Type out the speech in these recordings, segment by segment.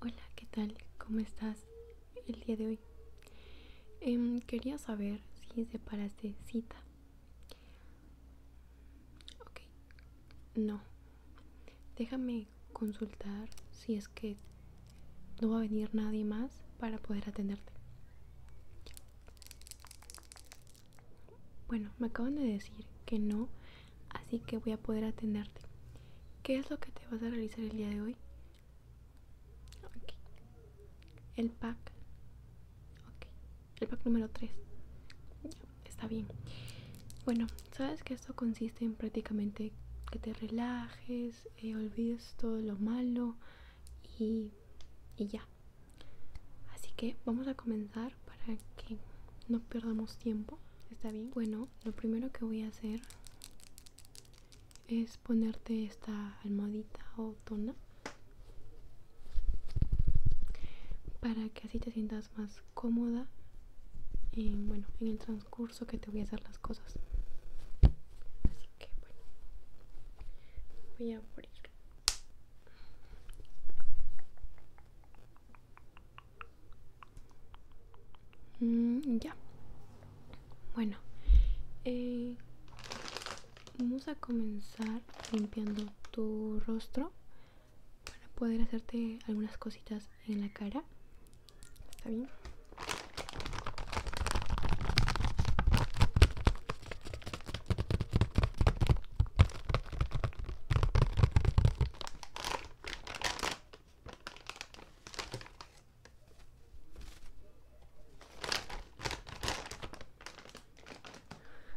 Hola, ¿qué tal? ¿Cómo estás el día de hoy? Em, quería saber si separaste cita. Ok, no. Déjame consultar si es que no va a venir nadie más para poder atenderte. Bueno, me acaban de decir que no, así que voy a poder atenderte. ¿Qué es lo que te vas a realizar el día de hoy? El pack. El pack número 3. Está bien. Bueno, sabes que esto consiste en prácticamente que te relajes, eh, olvides todo lo malo y ya. Así que vamos a comenzar para que no perdamos tiempo. ¿Está bien? Bueno, lo primero que voy a hacer es ponerte esta almohadita o tona para que así te sientas más cómoda en, el transcurso que te voy a hacer las cosas. Así que bueno, voy a abrirlo. Mm, ya. Bueno. Eh, vamos a comenzar limpiando tu rostro para poder hacerte algunas cositas en la cara. ¿Está bien?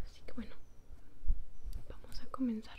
Así que bueno, vamos a comenzar.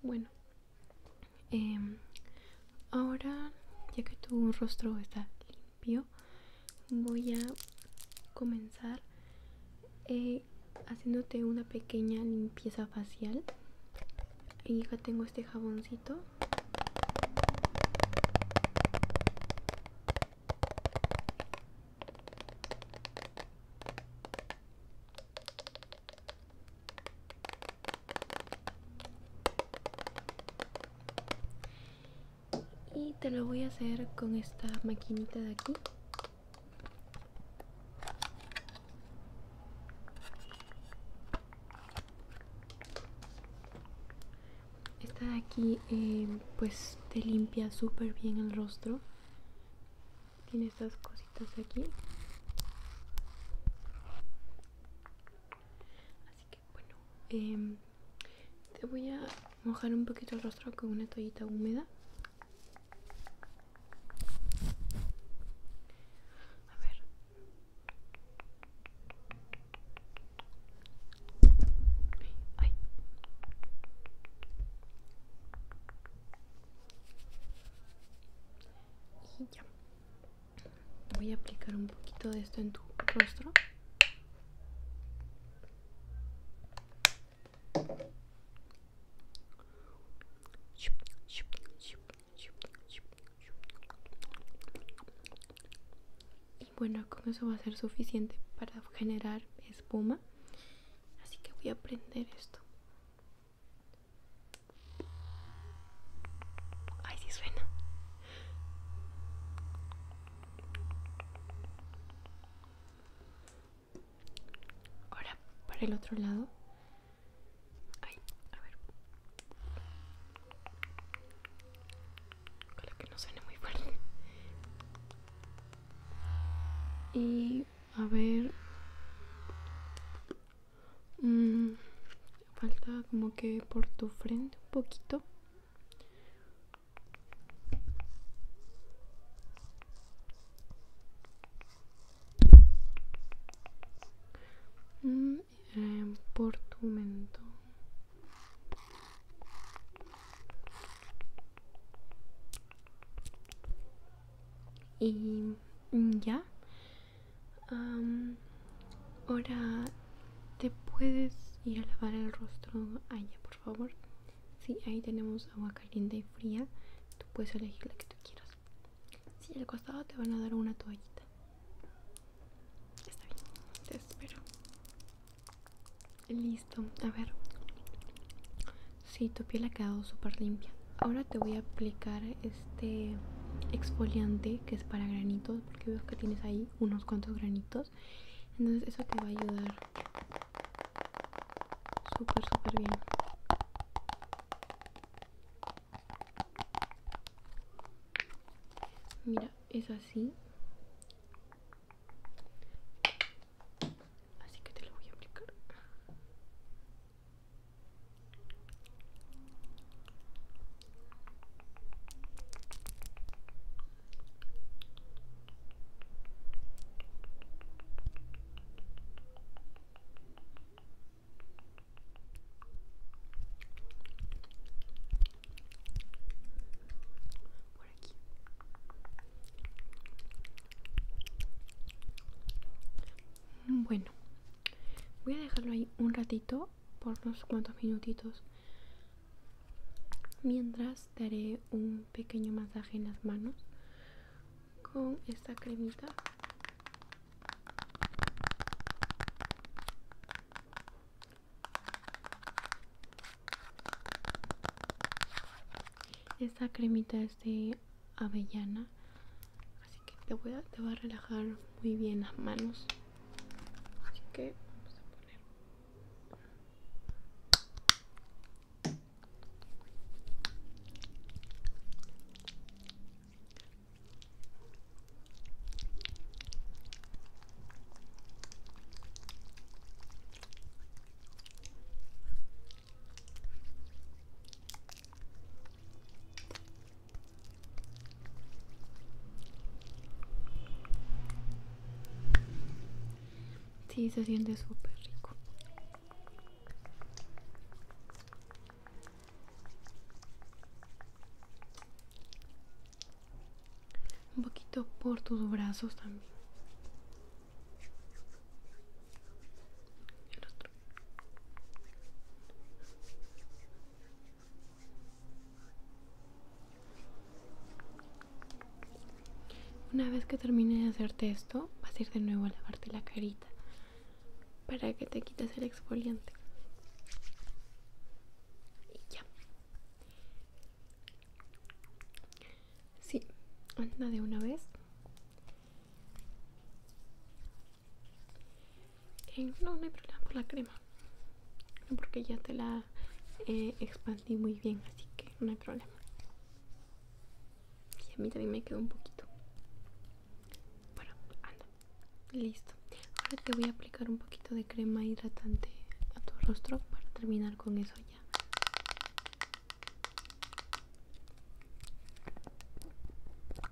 Bueno, em, ahora ya que tu rostro está aquí voy a comenzar eh, haciéndote una pequeña limpieza facial y ya tengo este jaboncito y te lo voy a hacer con esta maquinita de aquí esta de aquí eh, pues te limpia súper bien el rostro tiene estas cositas de aquí así que bueno em, te voy a mojar un poquito el rostro con una toallita húmeda a ver Y ya voy a aplicar un poquito de esto en tu rostro y bueno, con eso va a ser suficiente para generar espuma. Así que voy a prender esto. Ay, sí suena. Ahora para el otro lado. Ay, a ver. que no suene muy fuerte. Y a ver. Mm, falta como que por tu frente un poquito. Mm, eh, por tu mento y mm, ya Ahora, ¿te puedes ir a lavar el rostro allá, por favor? Sí, ahí tenemos agua caliente y fría. Tú puedes elegir la que tú quieras. Si al costado te van a dar una toallita. Está bien, te espero. Listo, a ver. Sí, tu piel ha quedado súper limpia. Ahora te voy a aplicar este exfoliante que es para granitos porque veo que tienes ahí unos cuantos granitos entonces eso te va a ayudar súper súper bien mira es así así que te lo voy a aplicar por Bueno, voy a dejarlo ahí un ratito por unos cuantos minutitos mientras daré un pequeño masaje en las manos con esta cremita esta cremita es de avellana te voy a, te va a relajar muy bien las manos así que vamos a poner Sí, se siente súper rico. Un poquito por tus brazos también. Una vez que termine de hacerte esto, vas a ir de nuevo a lavarte la carita para que te quites el exfoliante. Y ya. Sí, anda de una vez. Eh, no, no hay problema por la crema porque ya te la eh, expandí muy bien así que no hay problema y a mí también me quedó un poquito bueno anda listo ahora te voy a aplicar un poquito de crema hidratante a tu rostro para terminar con eso ya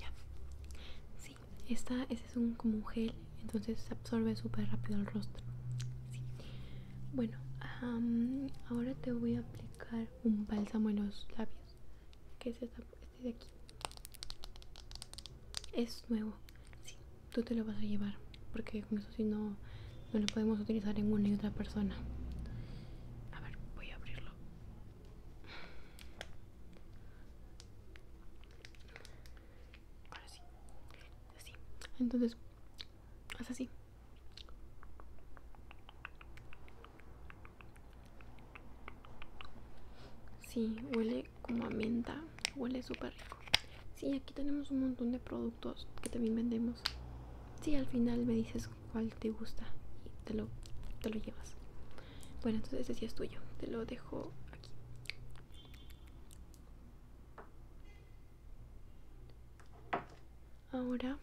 Ya. Sí, esta, este es un como un gel, entonces se absorbe súper rápido el rostro. Bueno, ahora te voy a aplicar un bálsamo en los labios, que es este de aquí. Es nuevo, sí, tú te lo vas a llevar, porque si no, no lo podemos utilizar en una y otra persona. A ver, voy a abrirlo. Ahora sí. Así. Entonces, es así. Sí, huele como a menta. Huele súper rico. Sí, aquí tenemos un montón de productos que también vendemos si al final me dices cuál te gusta y te lo, llevas. Bueno, entonces ese sí es tuyo. Te lo dejo aquí. Ahora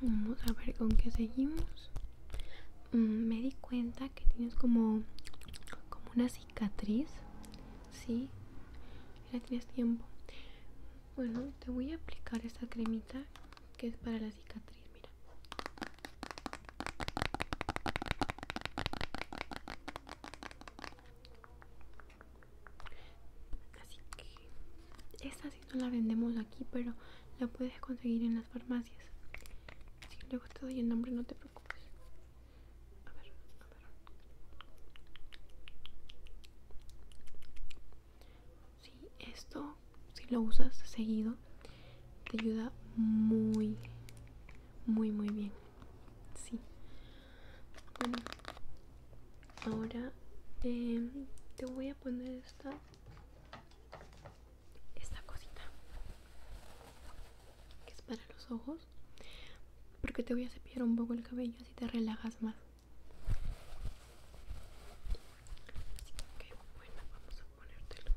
vamos a ver con qué seguimos. Mm, me di cuenta que tienes como, como una cicatriz, ¿sí? ya tienes tiempo bueno te voy a aplicar esta cremita que es para la cicatriz mira así que esta sí no la vendemos aquí pero la puedes conseguir en las farmacias si luego te doy el nombre no te preocupes a ver, a ver. Sí, esto, si lo usas seguido, te ayuda muy, muy, muy bien. Sí. Bueno, ahora em, te voy a poner esta esta cosita que es para los ojos porque te voy a cepillar un poco el cabello así te relajas más así que bueno vamos a ponértelo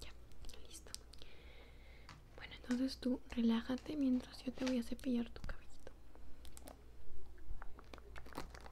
ya listo bueno entonces tú relájate mientras yo te voy a cepillar tu cabellito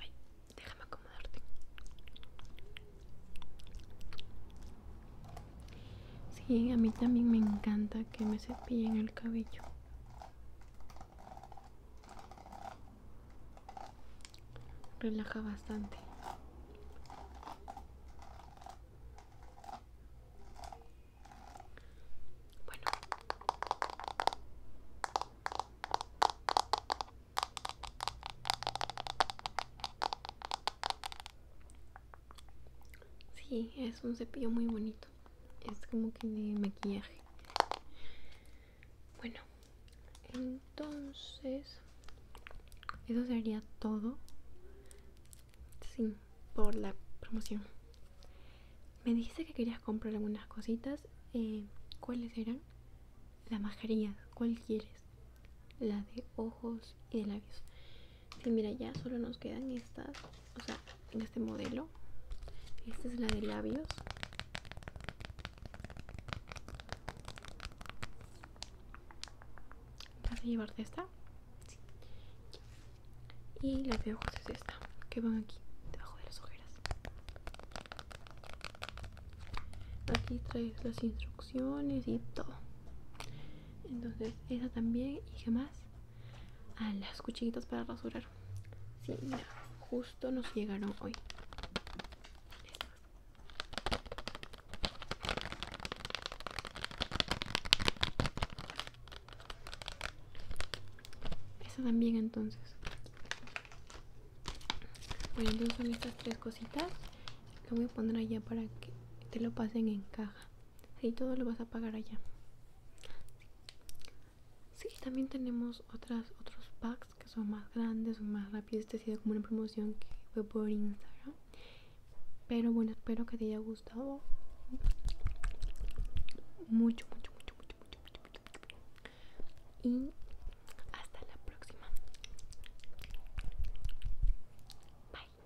Ay, déjame acomodarte. Sí, a mí también me encanta que me cepillen el cabello relaja bastante bueno Sí, es un cepillo muy bonito es como que de maquillaje bueno entonces eso sería todo sí por la promoción me dijiste que querías comprar algunas cositas eh, cuáles eran La mascarillas cuál quieres La de ojos y de labios sí mira ya solo nos quedan estas o sea en este modelo esta es la de labios vas a llevarte esta y la de ojos es esta que van aquí debajo de las ojeras aquí traes las instrucciones y todo entonces esa también y qué más a las cuchillitas para rasurar. justo nos llegaron hoy. eso también entonces. Bueno, entonces son estas tres cositas. que voy a poner allá para que te lo pasen en caja. Y todo lo vas a pagar allá. Sí, también tenemos otras otros packs que son más grandes, o más rápidos. Este ha sido como una promoción que fue por Instagram. Pero bueno, espero que te haya gustado mucho, mucho, mucho, mucho, mucho, mucho, mucho, mucho. Y hasta la próxima. Bye.